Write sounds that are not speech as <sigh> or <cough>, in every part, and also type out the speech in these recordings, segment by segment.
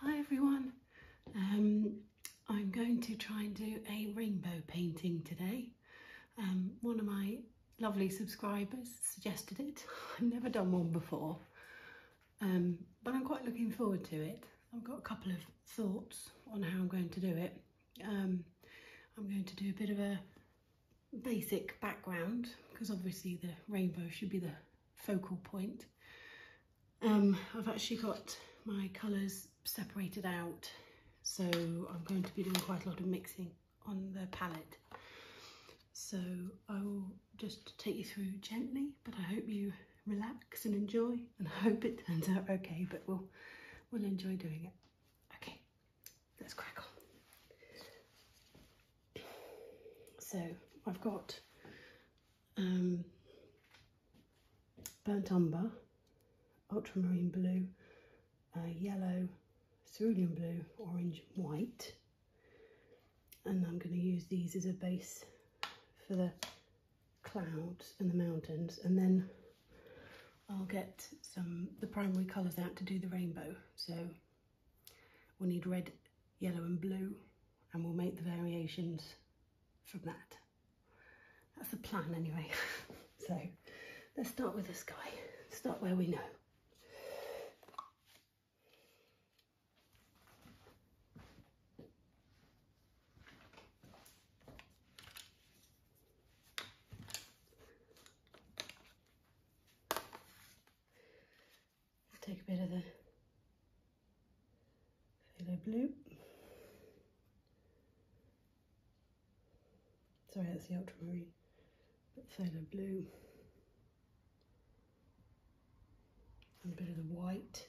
Hi everyone, um, I'm going to try and do a rainbow painting today. Um, one of my lovely subscribers suggested it. <laughs> I've never done one before, um, but I'm quite looking forward to it. I've got a couple of thoughts on how I'm going to do it. I'm going to do a bit of a basic background because obviously the rainbow should be the focal point. Um, I've actually got my colours separated out so I'm going to be doing quite a lot of mixing on the palette. So I will just take you through gently but I hope you relax and enjoy and I hope it turns out okay but we'll, we'll enjoy doing it. Okay, let's crack on. So I've got um, burnt umber, ultramarine blue, uh, yellow, cerulean blue, orange, white. And I'm going to use these as a base for the clouds and the mountains. And then I'll get some the primary colours out to do the rainbow. So We'll need red, yellow and blue and we'll make the variations from that. That's the plan anyway. <laughs> so let's start with the sky. Start where we know. Take a bit of the phthalo blue. Sorry, that's the ultramarine, but phthalo blue. And a bit of the white.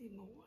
Need more white.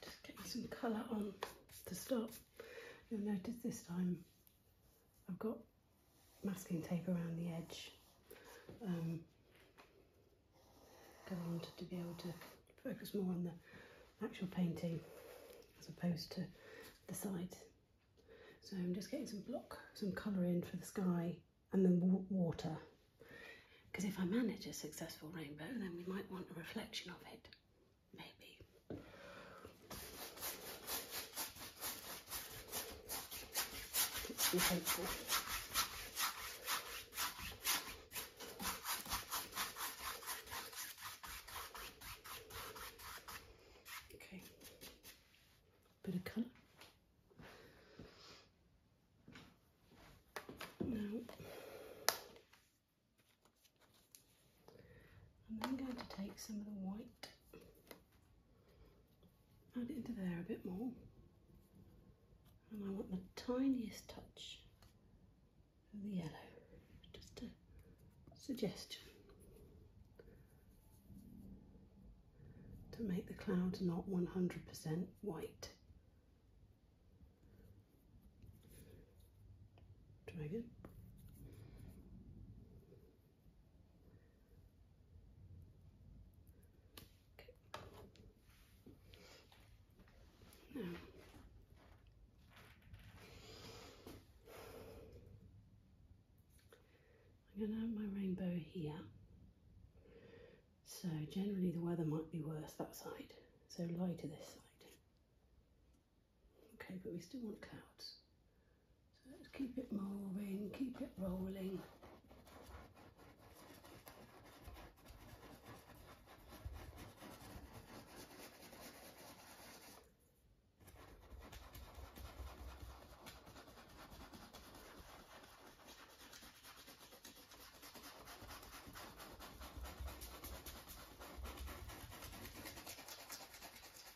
Just getting some colour on the stop. You'll notice this time I've got masking tape around the edge because I wanted to be able to focus more on the actual painting as opposed to the sides. So I'm just getting some block, some colour in for the sky and the water because if I manage a successful rainbow then we might want a reflection of it, maybe. Keeps me hopeful. Okay, bit of colour. Now I'm then going to take some of the white, add it into there a bit more. And I want the tiniest touch of the yellow, just a suggestion to make the cloud not 100% white. Dragon. I'm going to have my rainbow here. So, generally, the weather might be worse that side, so lie to this side. Okay, but we still want clouds. So let's keep it moving, keep it rolling.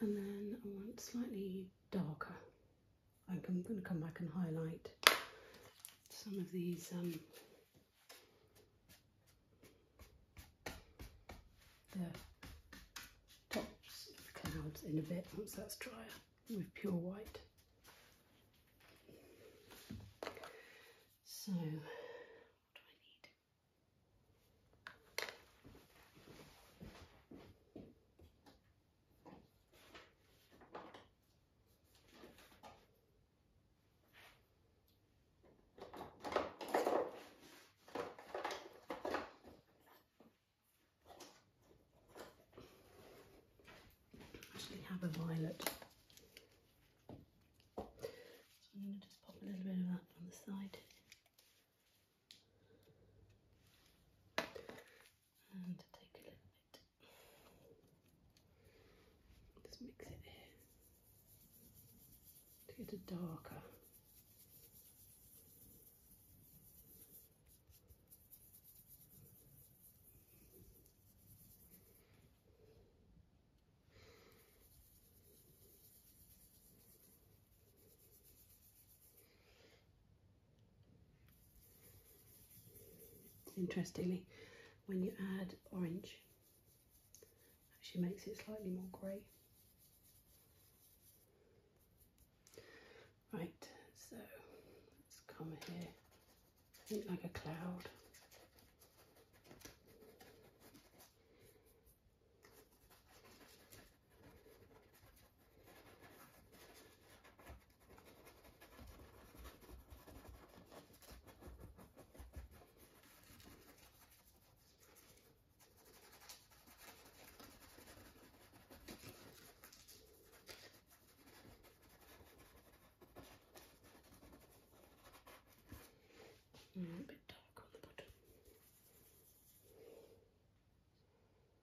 And then I want slightly darker. I'm going to come back and highlight some of these um, the tops of clouds in a bit once that's drier with pure white. So, what do I need? Actually have a violet. I'm going to just pop a little bit of that on the side and take a little bit. Just mix it here to get a darker. Interestingly, when you add orange, actually makes it slightly more grey. Right, so let's come here, think like a cloud. Mm, a bit dark on the bottom.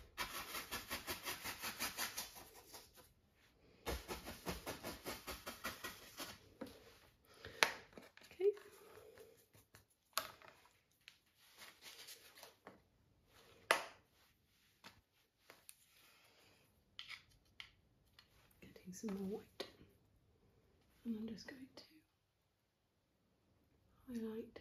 Okay. Getting some more white, and I'm just going to highlight.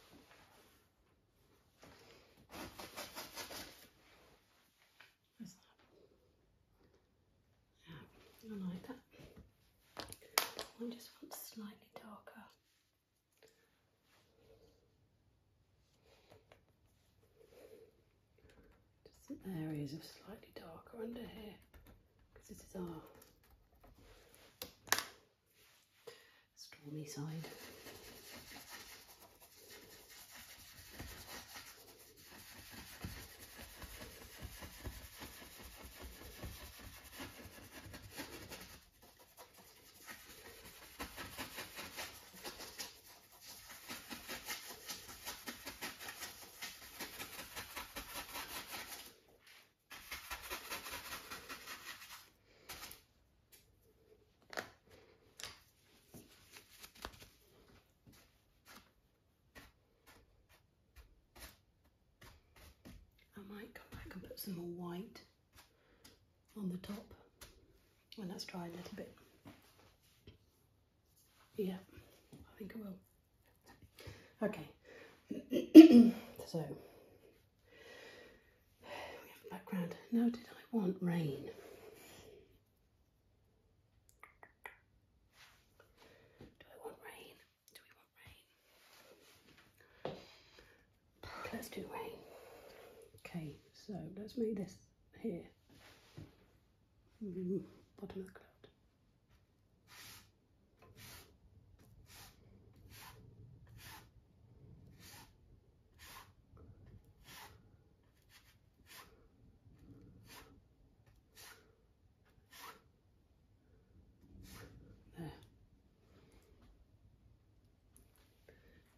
Where's that? Yeah, I like that. I just want slightly darker. Just some areas of slightly darker under here because this is our stormy side. I might come back and put some more white on the top when that's dry a little bit. Yeah, I think it will. Okay, <clears throat> so we have a background. Now, did I want rain? Do I want rain? Do we want rain? Let's do rain. Okay, so let's make this here. Mm, bottom of the cloud.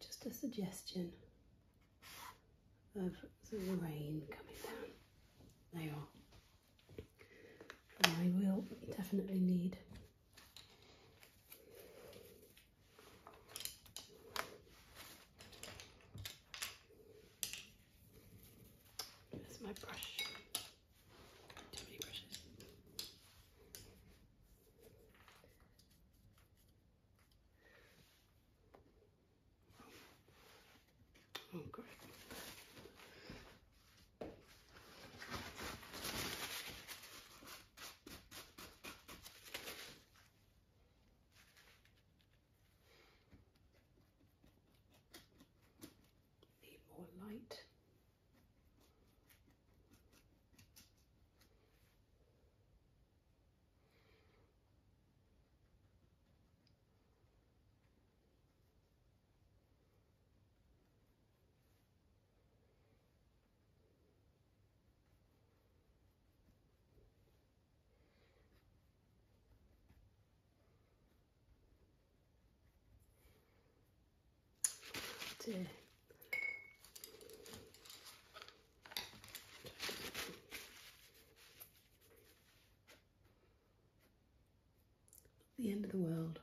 Just a suggestion of the rain coming down. There you are. I will definitely need that's my brush. Too many brushes. Oh, great. Need more light to the end of the world.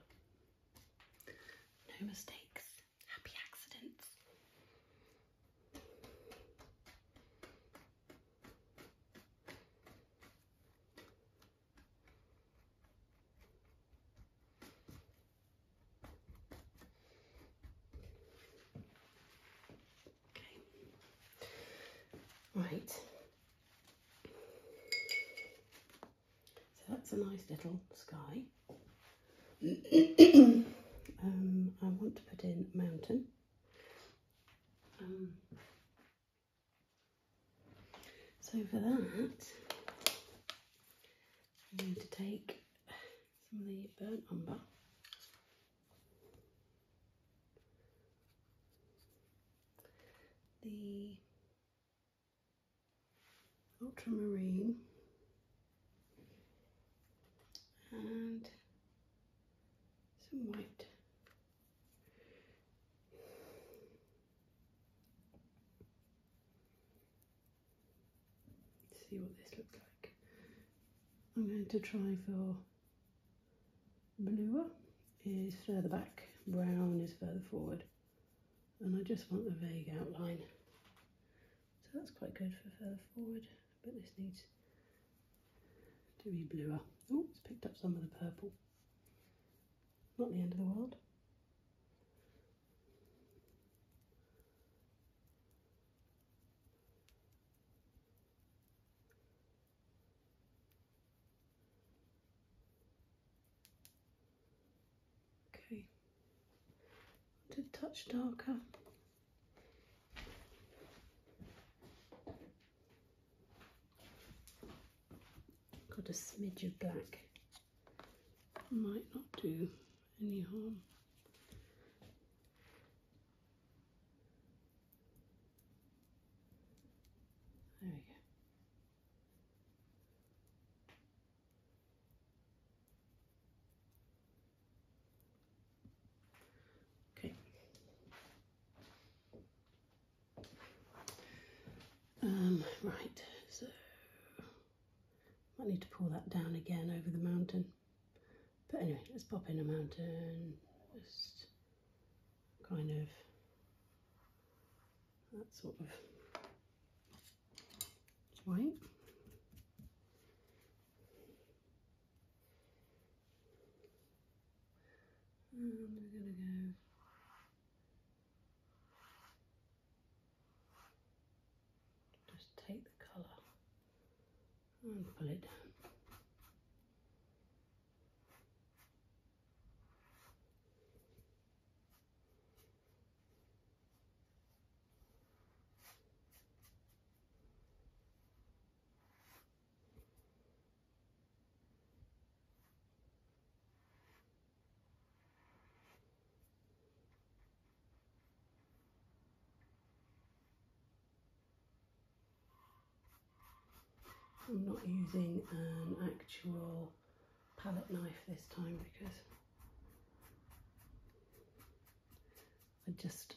No mistakes, happy accidents. Okay. Right. So that's a nice little sky. <clears throat> um, I want to put in mountain. Um, so for that, I'm going to take some of the burnt umber. The ultramarine and some white. see what this looks like. I'm going to try for bluer is further back, brown is further forward and I just want the vague outline. So that's quite good for further forward, but this needs to be bluer. Oh, it's picked up some of the purple. Not the end of the world. Okay, to touch darker. Got a smidge of black. Might not do any harm. There we go. Okay. Um, right, so might need to pull that down again over the mountain. But anyway, let's pop in a mountain, just kind of that sort of it's white. And I'm going to go just take the colour and pull it down. I'm not using an actual palette knife this time because I just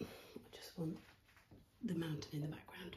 I just want the mountain in the background.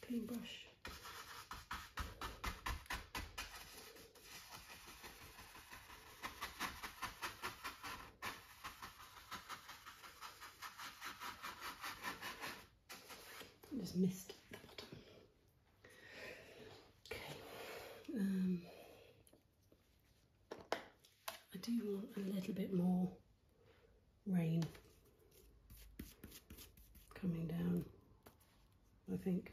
clean brush. I just missed the bottom. Okay. Um, I do want a little bit more rain coming down, I think.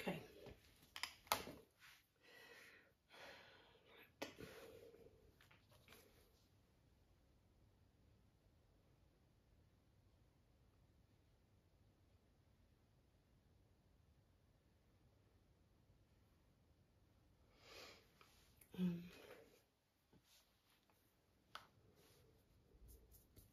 Okay. Right. Um.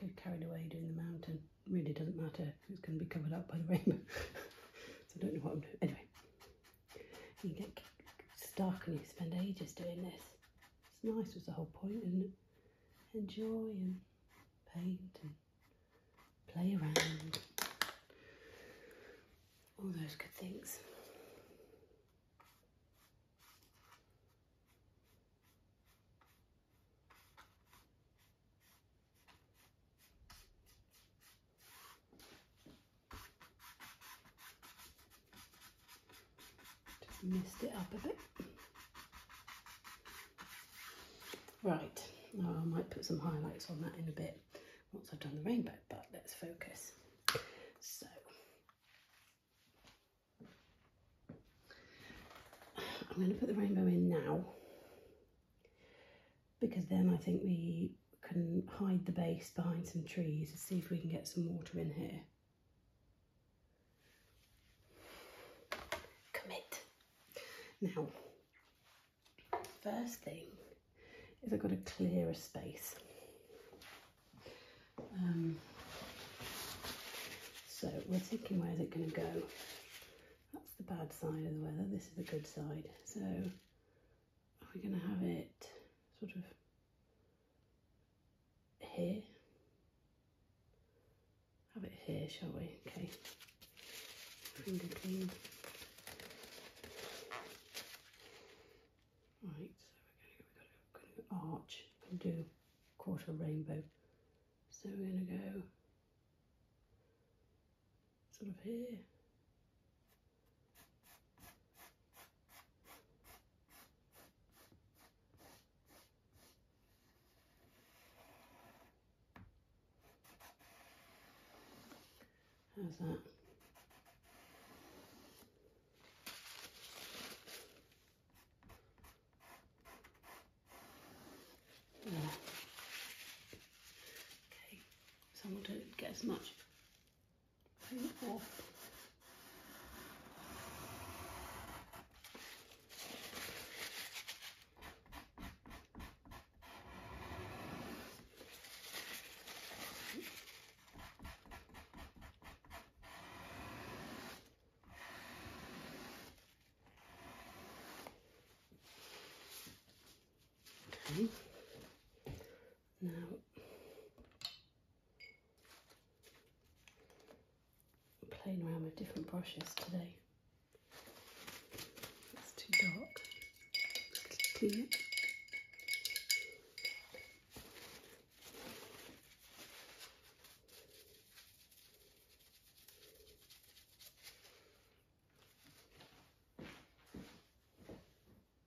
Get carried away doing the mountain really doesn't matter it's going to be covered up by the rainbow <laughs> so I don't know what I'm doing anyway you get stuck and you spend ages doing this. It's nice, was the whole point, Enjoy and paint and play around. All those good things. Just messed it up a bit. Right, oh, I might put some highlights on that in a bit once I've done the rainbow, but let's focus. So, I'm going to put the rainbow in now because then I think we can hide the base behind some trees and see if we can get some water in here. Commit. Now, first thing is I've got to clear a space. Um, so we're thinking where's it going to go. That's the bad side of the weather, this is the good side. So we're going to have it sort of here. Have it here, shall we? Okay. Finger clean. Right, so we're going to go, arch and do quarter rainbow. So we're going to go sort of here, How's that? There. Okay, so I'm going to get as much Pretty cool. Okay. Now playing around with different brushes today. It's too dark.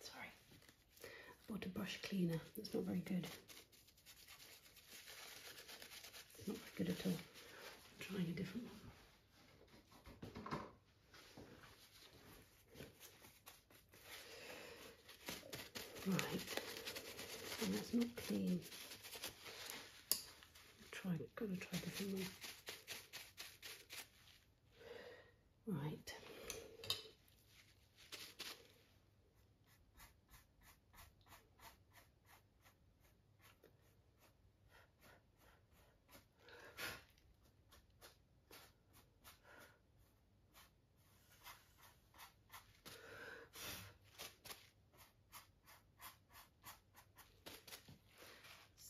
Sorry, I bought a brush cleaner. That's not very good. It's not very good at all. I'm trying a different one. Right, and that's not clean trying, gonna try different one. Right.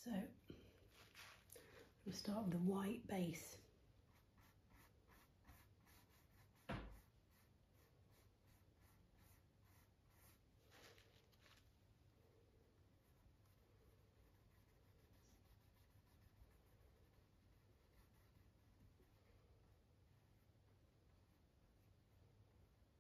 So we start with the white base.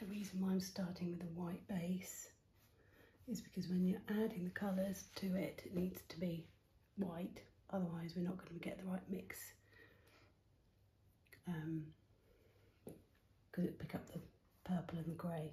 The reason why I'm starting with a white base is because when you're adding the colours to it, it needs to be white, otherwise we're not going to get the right mix because um, it pick up the purple and the grey.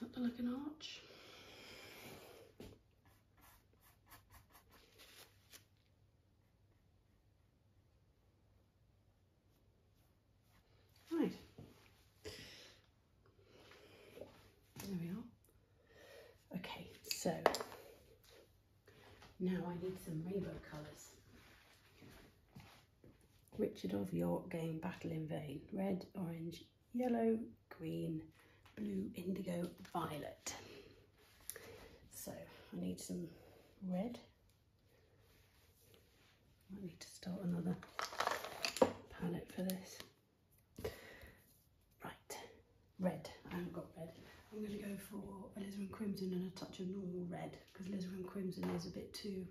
Is that like an arch? Right. There we are. Okay, so now I need some rainbow colours. Richard of York gained battle in vain. Red, orange, yellow, green, blue, indigo, violet. So I need some red. Might need to start another palette for this. Right, red. I haven't got red. I'm going to go for alizarin crimson and a touch of normal red because alizarin crimson is a bit too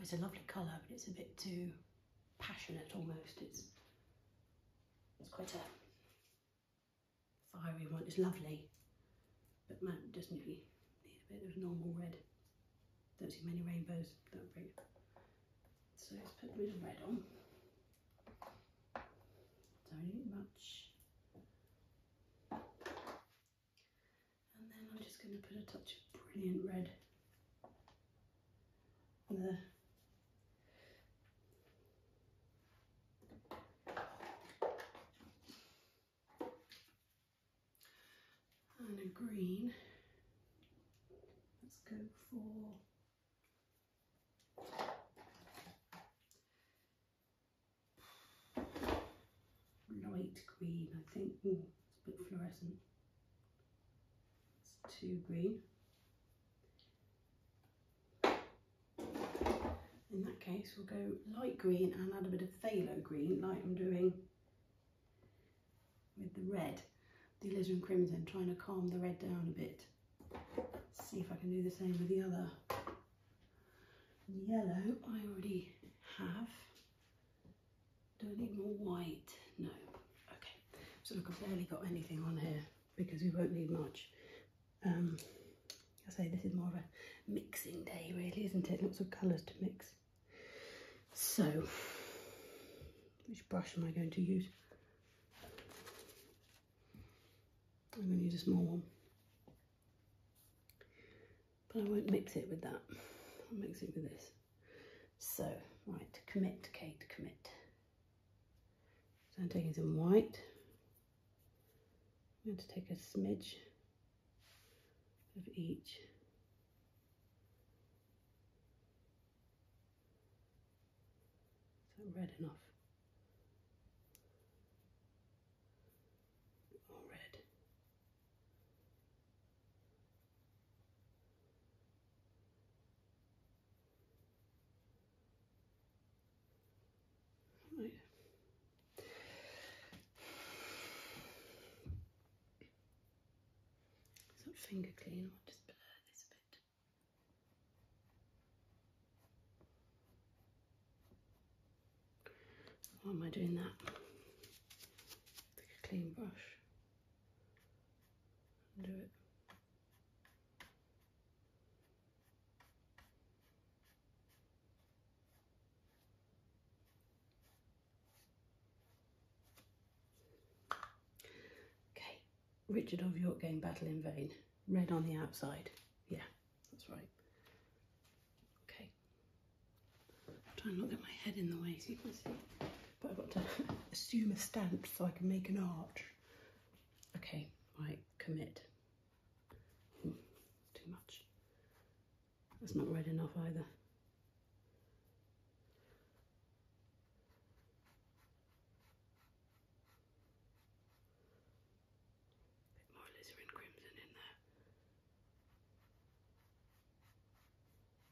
it's a lovely colour, but it's a bit too passionate almost. It's, it's quite a fiery one. It's lovely, but man, doesn't really need a bit of normal red. Don't see many rainbows Don't bring. So let's put a bit of red on. Don't need much. And then I'm just going to put a touch of brilliant red there. And a green. Let's go for light green, I think. it's a bit fluorescent. It's too green. In that case, we'll go light green and add a bit of phthalo green, like I'm doing with the red, the alizarin crimson, trying to calm the red down a bit. see if I can do the same with the other. yellow I already have. Do I need more white? No. Okay. So look, I've barely got anything on here because we won't need much. Um, I say this is more of a mixing day really, isn't it? Lots of colours to mix. So, which brush am I going to use? I'm going to use a small one. But I won't mix it with that. I'll mix it with this. So, right, commit, Kate, commit. So I'm taking some white. I'm going to take a smidge of each. So red enough? All red. Right. It's finger clean, I'll just blur this a bit. Why am I doing that? Take a clean brush. Do it. Okay, Richard of York gained battle in vain. Red on the outside. Yeah, that's right. Okay, Try and not get my head in the way so you can see. But I've got to <laughs> assume a stance so I can make an arch. Okay, I commit. Hmm, too much. That's not red enough either. more alizarin crimson in there.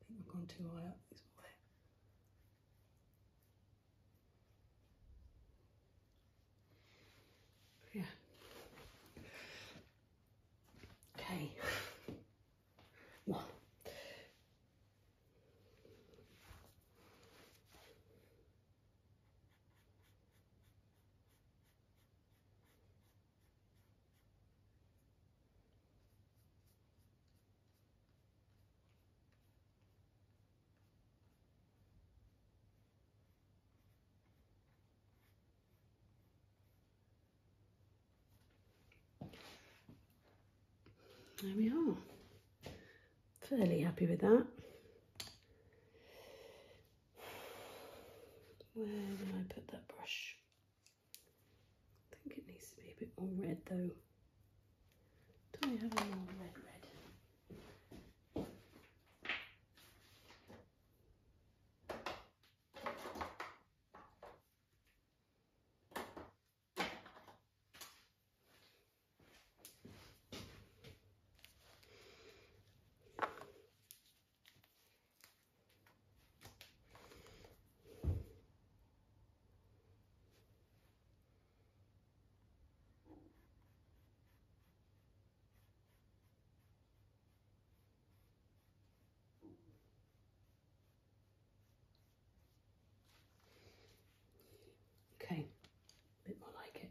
I think I've gone too high up this way. Yeah. Okay. One. There we are. Fairly happy with that. Where did I put that brush? I think it needs to be a bit more red though. Do I have a more red red? Okay, a bit more like it.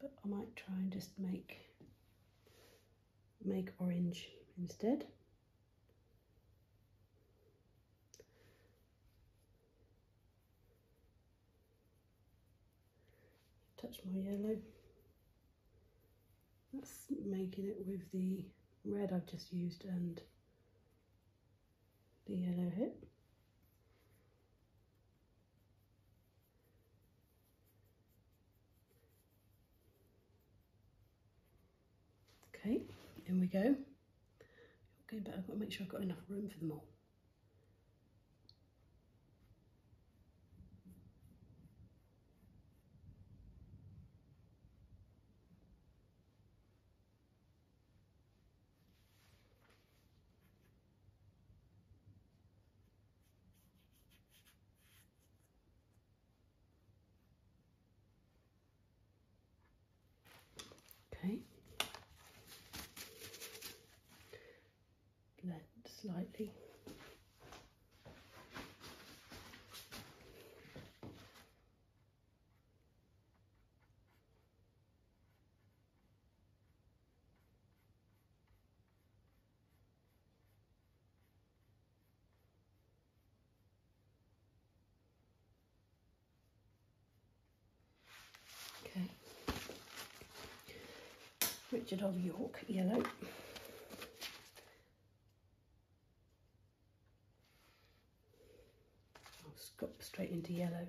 but I might try and just make make orange instead. Touch my yellow. That's making it with the red I've just used and the yellow here. Okay, here we go. Okay, but I've got to make sure I've got enough room for them all. Okay. Blend slightly. Okay. Richard of York, yellow. I'll scoop straight into yellow.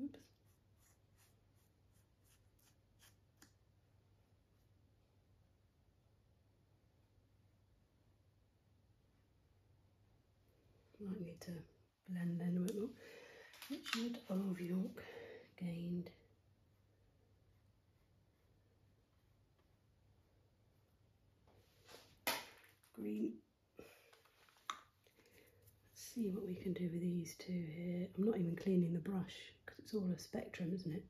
Oops. Might need to blend then and whatnot. Richard of York gained green. Let's see what we can do with these two here. I'm not even cleaning the brush because it's all a spectrum, isn't it?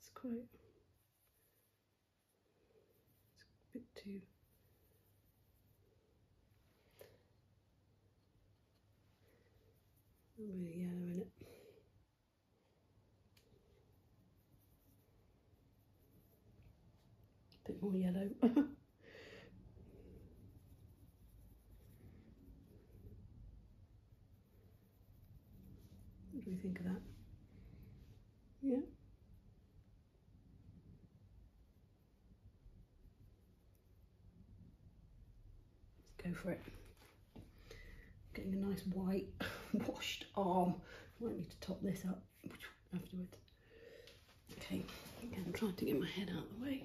It's quite it's a bit too. yellow in it. A bit more yellow. <laughs> What do we think of that? Yeah. Let's go for it. Getting a nice white <laughs> washed arm. I might need to top this up afterwards. Okay, again, I'm trying to get my head out of the way.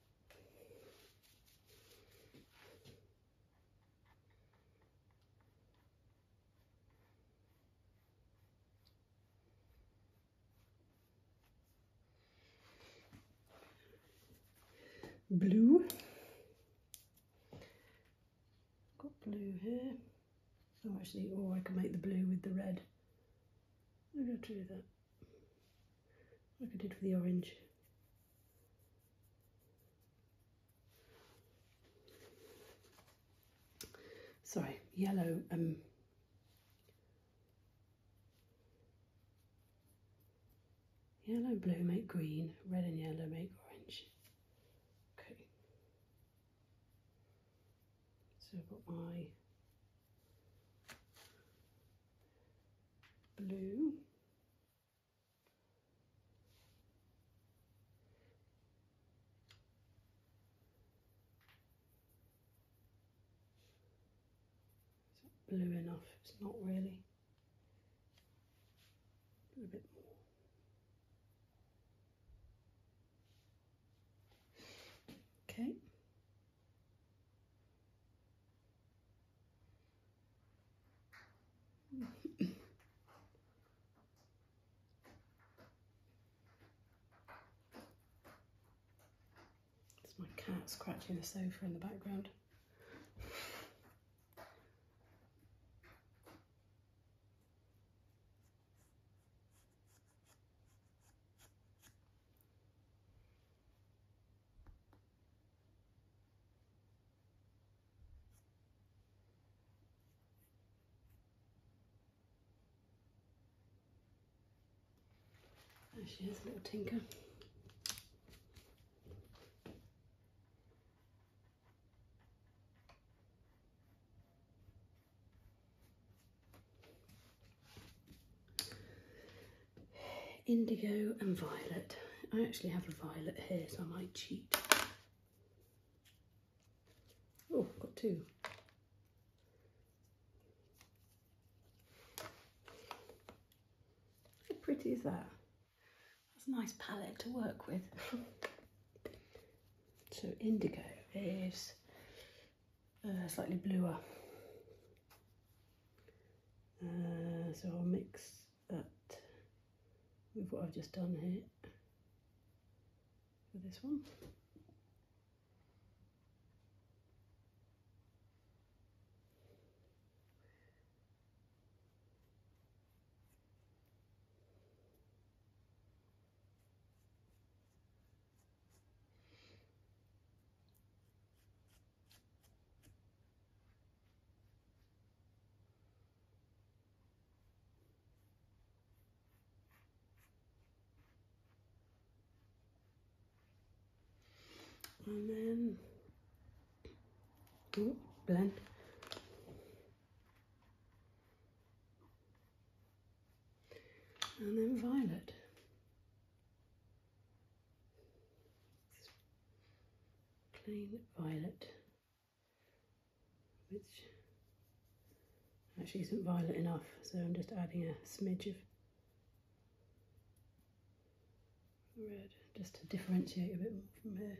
blue. Got blue here. Oh, actually, or oh, I can make the blue with the red. I'm go to do that like I did for the orange. Sorry, yellow um, Yellow and blue make green, red and yellow make orange. Okay. So I've got my blue is it blue enough? It's not really. A bit more. Okay. It's my cat scratching the sofa in the background. There she a little Tinker indigo and violet. I actually have a violet here, so I might cheat. Oh, got two. How pretty is that? That's a nice palette to work with. <laughs> so indigo is uh, slightly bluer. Uh, so I'll mix that with what I've just done here for this one and then oh, blend and then violet plain violet, which actually isn't violet enough, so I'm just adding a smidge of red just to differentiate a bit more from here.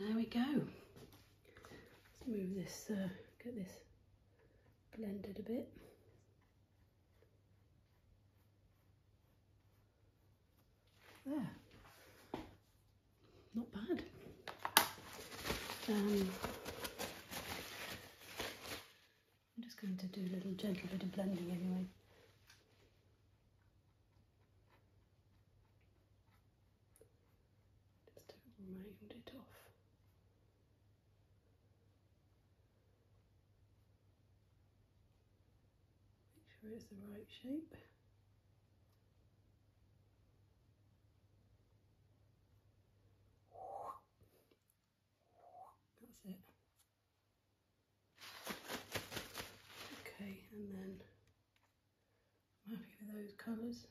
There we go. Let's move this, uh, get this blended a bit. There. Not bad. Um, I'm just going to do a little gentle bit of blending anyway. Just to round it off. Make sure it's the right shape. That's it. Okay, and then I'm happy with those colours.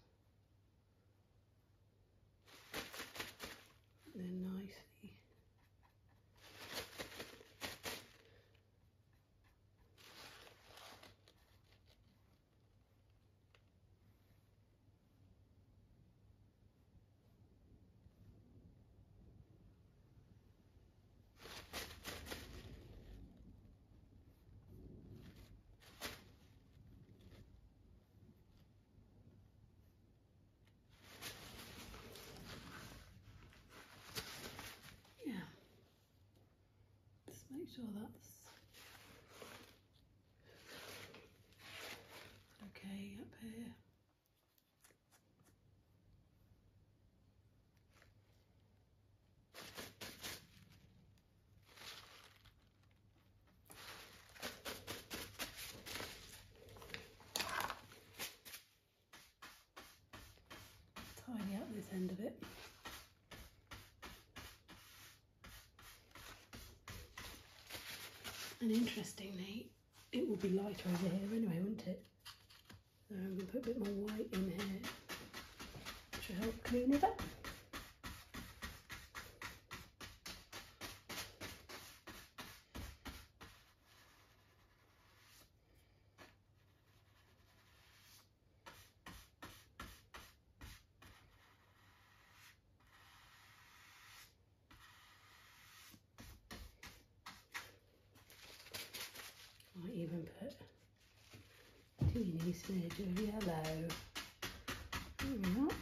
They're nicely yeah, just make sure that's okay up here tidy up this end of it. And interestingly, it will be lighter over here anyway, won't it? So um, I'm going to put a bit more white in here, to help clean it up. I even put teeny smidge of yellow. There we are.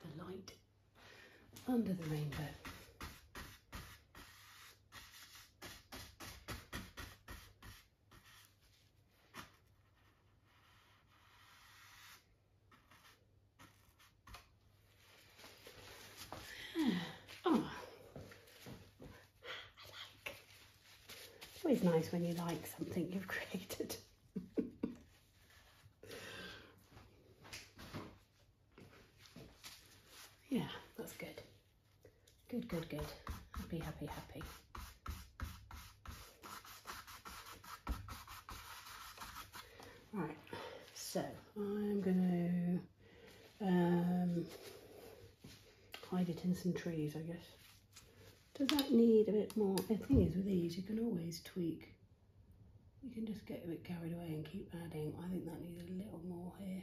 The light under the rainbow oh. Like. always nice when you like something you've <laughs> created. yeah, that's good. Good, good, good. Happy, happy, happy. Right, so I'm going to um, hide it in some trees, I guess. Does that need a bit more? The thing is, with these, you can always tweak. You can just get a bit carried away and keep adding. I think that needs a little more here.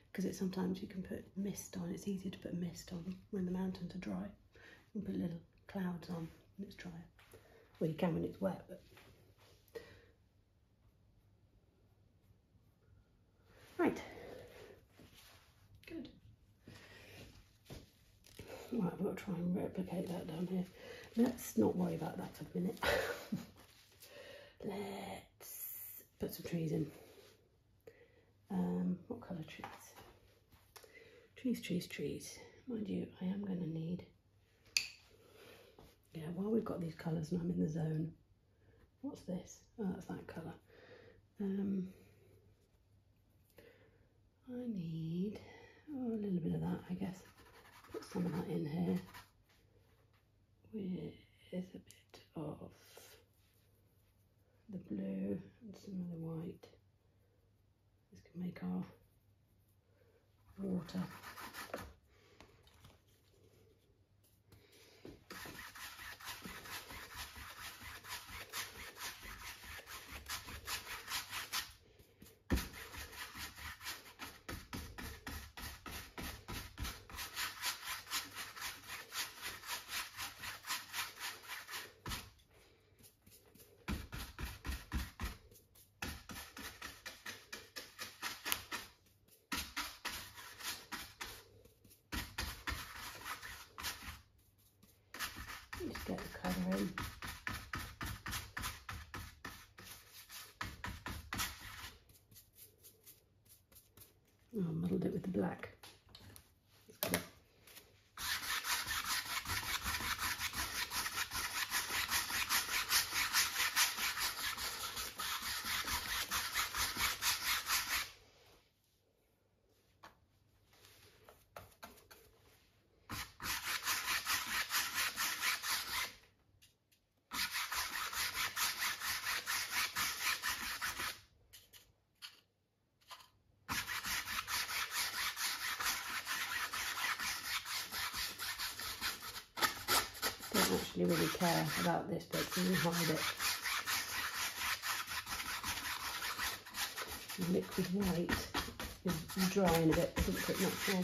because it sometimes you can put mist on. It's easier to put mist on when the mountains are dry. You can put little clouds on when it's drier. Well, you can when it's wet, but. Right. Good. Right, I've got to try and replicate that down here. Let's not worry about that for a minute. <laughs> Let's put some trees in. Um, what colour trees? Trees, trees, trees. Mind you, I am going to need... Yeah, while we've got these colours and I'm in the zone, what's this? Oh, that's that colour. Um, I need oh, a little bit of that, I guess. Put some of that in here with a bit of the blue and some of the white. This can make our water. Just get the colour in. Oh, I muddled it with the black. Don't actually really care about this bit because you hide it. The liquid white is drying a bit, doesn't put much on.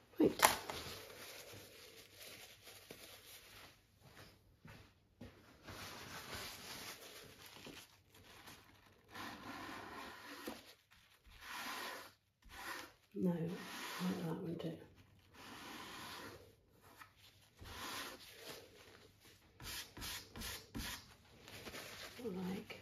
Right. No, like that one too. Like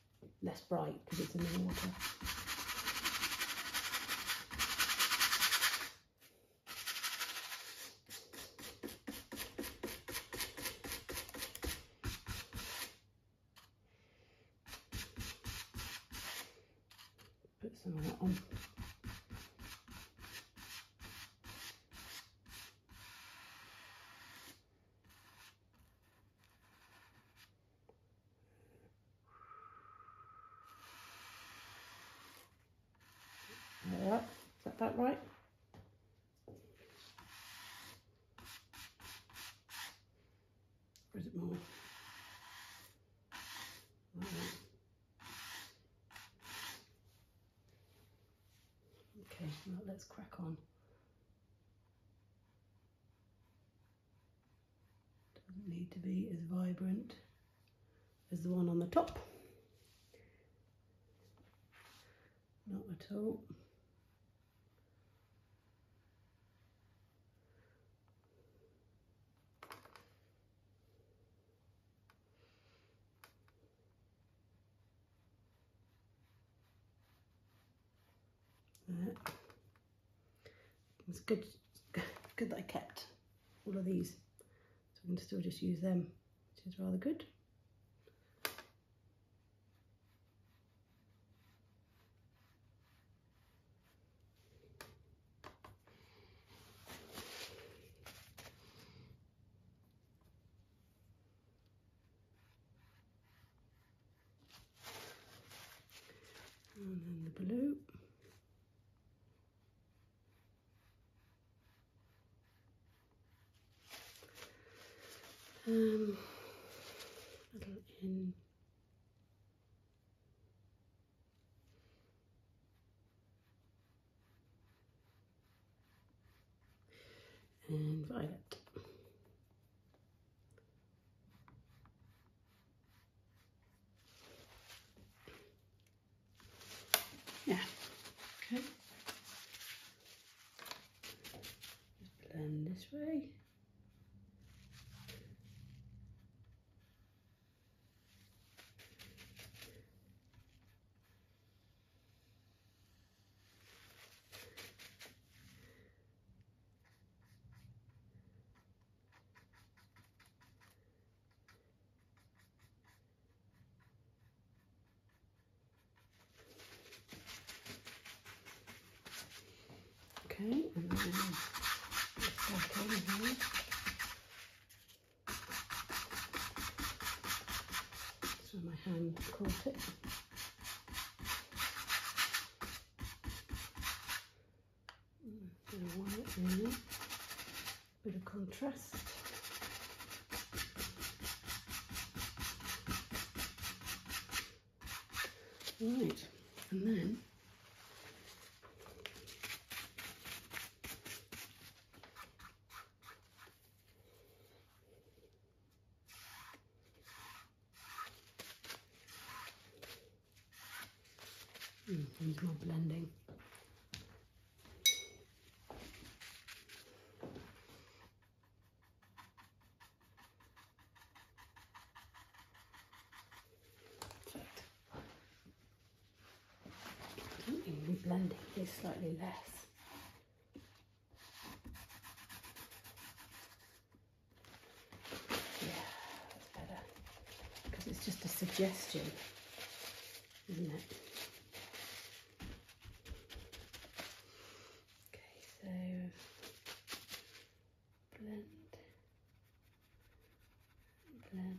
less bright because it's in the water. Put some of that on. There. Is that that right? Or is it more? Right. Okay, well, let's crack on. Doesn't need to be as vibrant as the one on the top. Not at all it's good, <laughs> good that I kept all of these, so I can still just use them, which is rather good. And then the blue. Um, little in. And violet. Yeah, okay. blend this way. Okay, and then back in here. So my hand caught it a mm, bit of white in there, a bit of contrast. Right, and then Mm, there's more blending. blending is slightly less. Yeah, that's better. Because it's just a suggestion, isn't it? Okay, so blend, blend.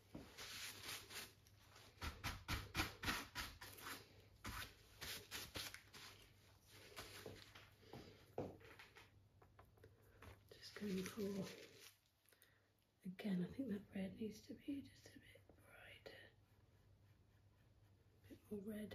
Just going for, again, I think that red needs to be just a bit brighter, a bit more red.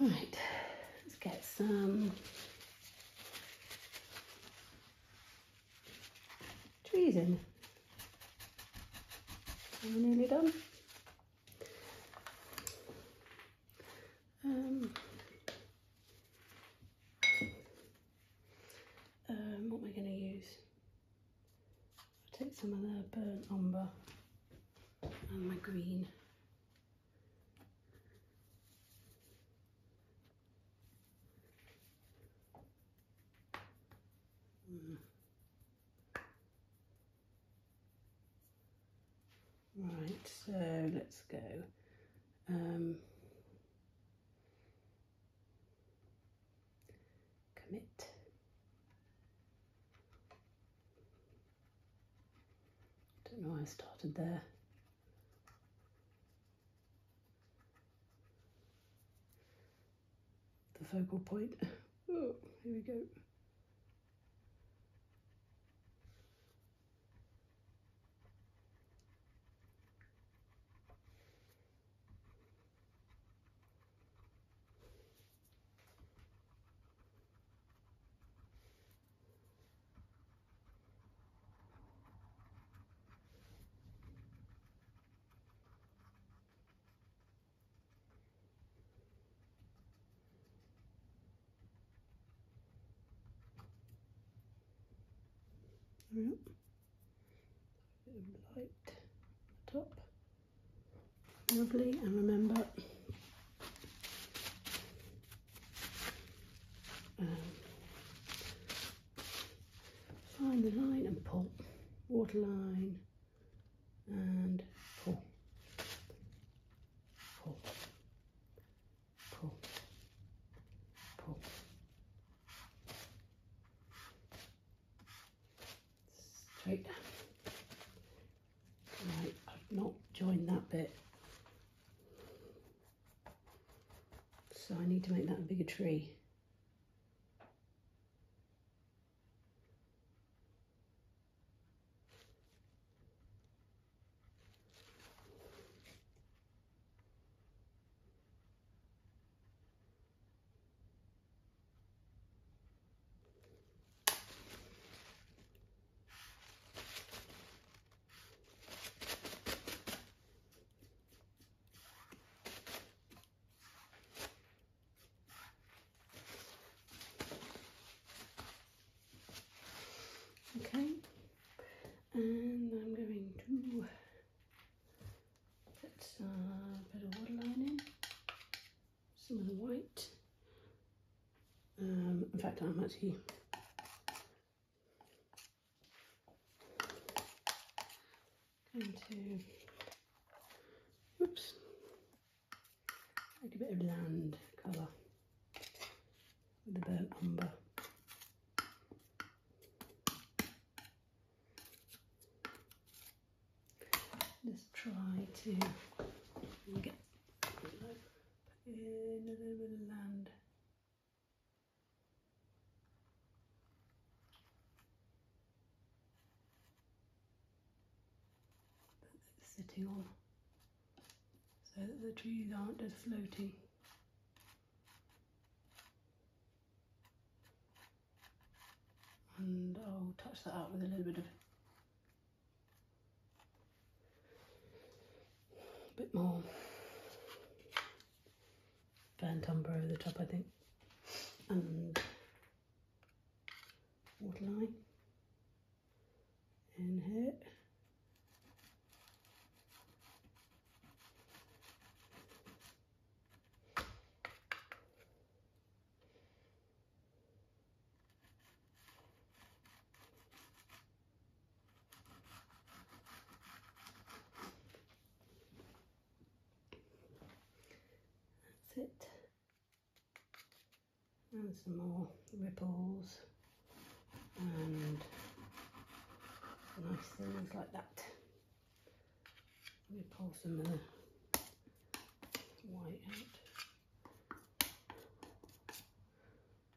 All right, let's get some trees in. Are nearly done? Um, um what we're going to use? I'll take some of the burnt umber and my green. Right, so let's go. Um, commit. Don't know why I started there. The focal point. <laughs> Oh, here we go. Yep. Light the top. Lovely, and remember um, find the line and pull, water line and pull, pull, pull, pull. Straight down. Right, I've not joined that bit. So I need to make that a bigger tree. Okay, and I'm going to put a bit of waterline in, some of the white, um, in fact, I'm actually going to, oops, take a bit of land colour with the burnt umber. Just try to get in a little bit of land. That's sitting on so that the trees aren't as floating. And I'll touch that up with a little bit of a bit more burnt umber over the top, I think, and waterline in here. That's it. And some more ripples and nice things like that. I'm pull some of the white out.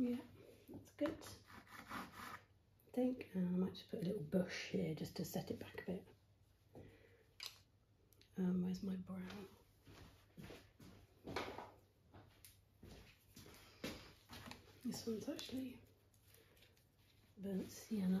Yeah, that's good. I think I might just put a little bush here just to set it back a bit. Um, where's my brown? This one's actually burnt sienna.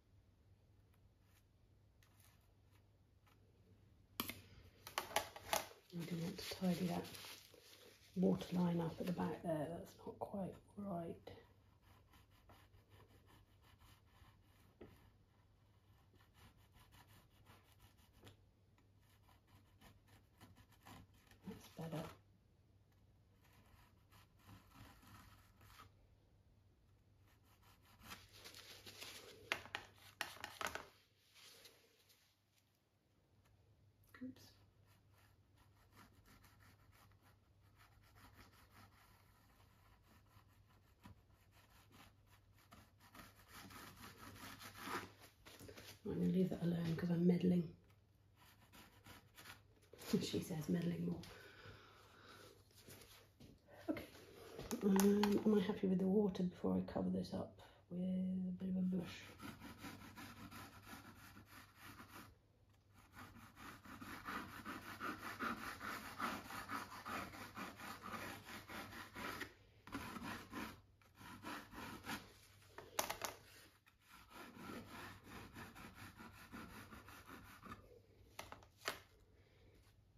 We do want to tidy that water line up at the back there, that's not quite right. That's better. Oops. I'm going to leave that alone because I'm meddling. <laughs> she says meddling more. Okay, um, am I happy with the water before I cover this up with a bit of a brush?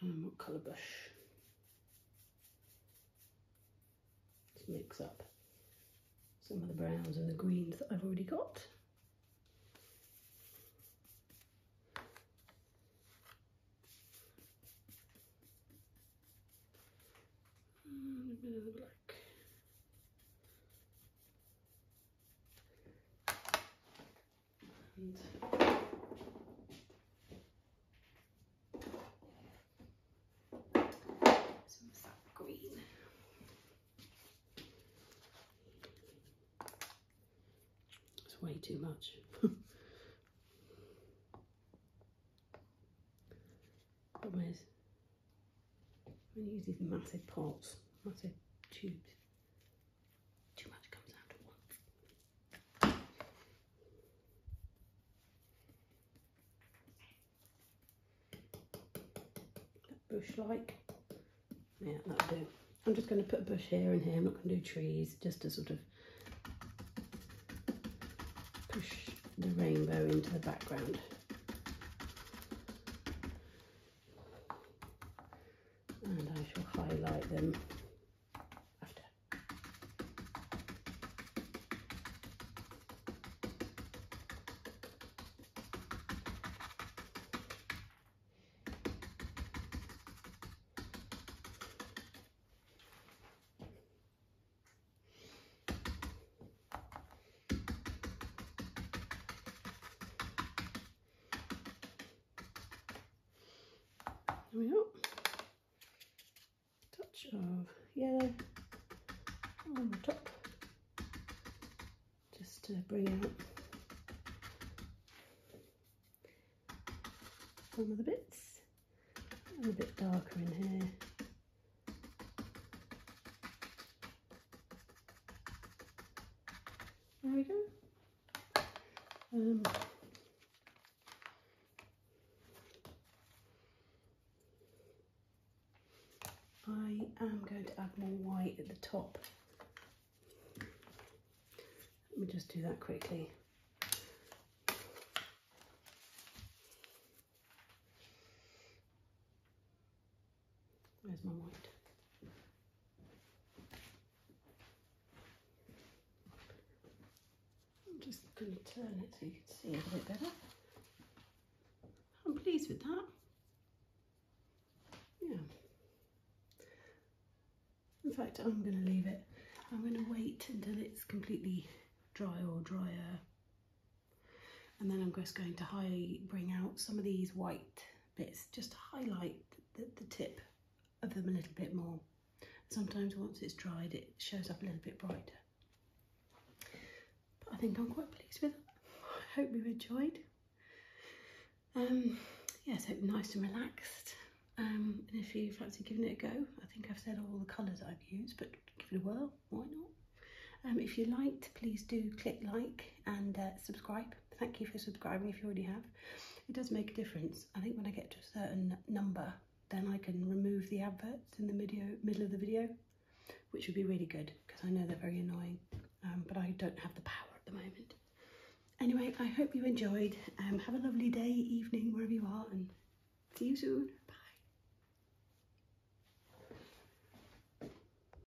Um, what colour brush to mix up some of the browns and the greens that I've already got. Mm, a bit of black some sap green. It's way too much. Problem <laughs> I'm going to use these massive pots, massive tubes. Too much comes out at once. bush like. Yeah, that'll do. I'm just going to put a bush here and here. I'm not going to do trees, just to sort of push the rainbow into the background and I shall highlight them after we go. Touch of yellow on the top, just to bring out some of the bits. And a bit darker in here. There we go. Um, I am going to add more white at the top. Let me just do that quickly. There's my white? I'm just going to turn it so you can see a bit better. I'm pleased with that. Yeah. In fact, I'm going to leave it. I'm going to wait until it's completely dry or drier. And then I'm just going to bring out some of these white but it's just highlight the, the tip of them a little bit more. Sometimes once it's dried it shows up a little bit brighter. But I think I'm quite pleased with it. I hope you've enjoyed. Um, yeah, so nice and relaxed. Um, and if you fancy giving it a go, I think I've said all the colours I've used, but give it a whirl, why not? Um, if you liked, please do click like and uh, subscribe. Thank you for subscribing if you already have. It does make a difference. I think when I get to a certain number, then I can remove the adverts in the video, middle of the video, which would be really good because I know they're very annoying, um, but I don't have the power at the moment. Anyway, I hope you enjoyed. Um, have a lovely day, evening, wherever you are, and see you soon. Bye.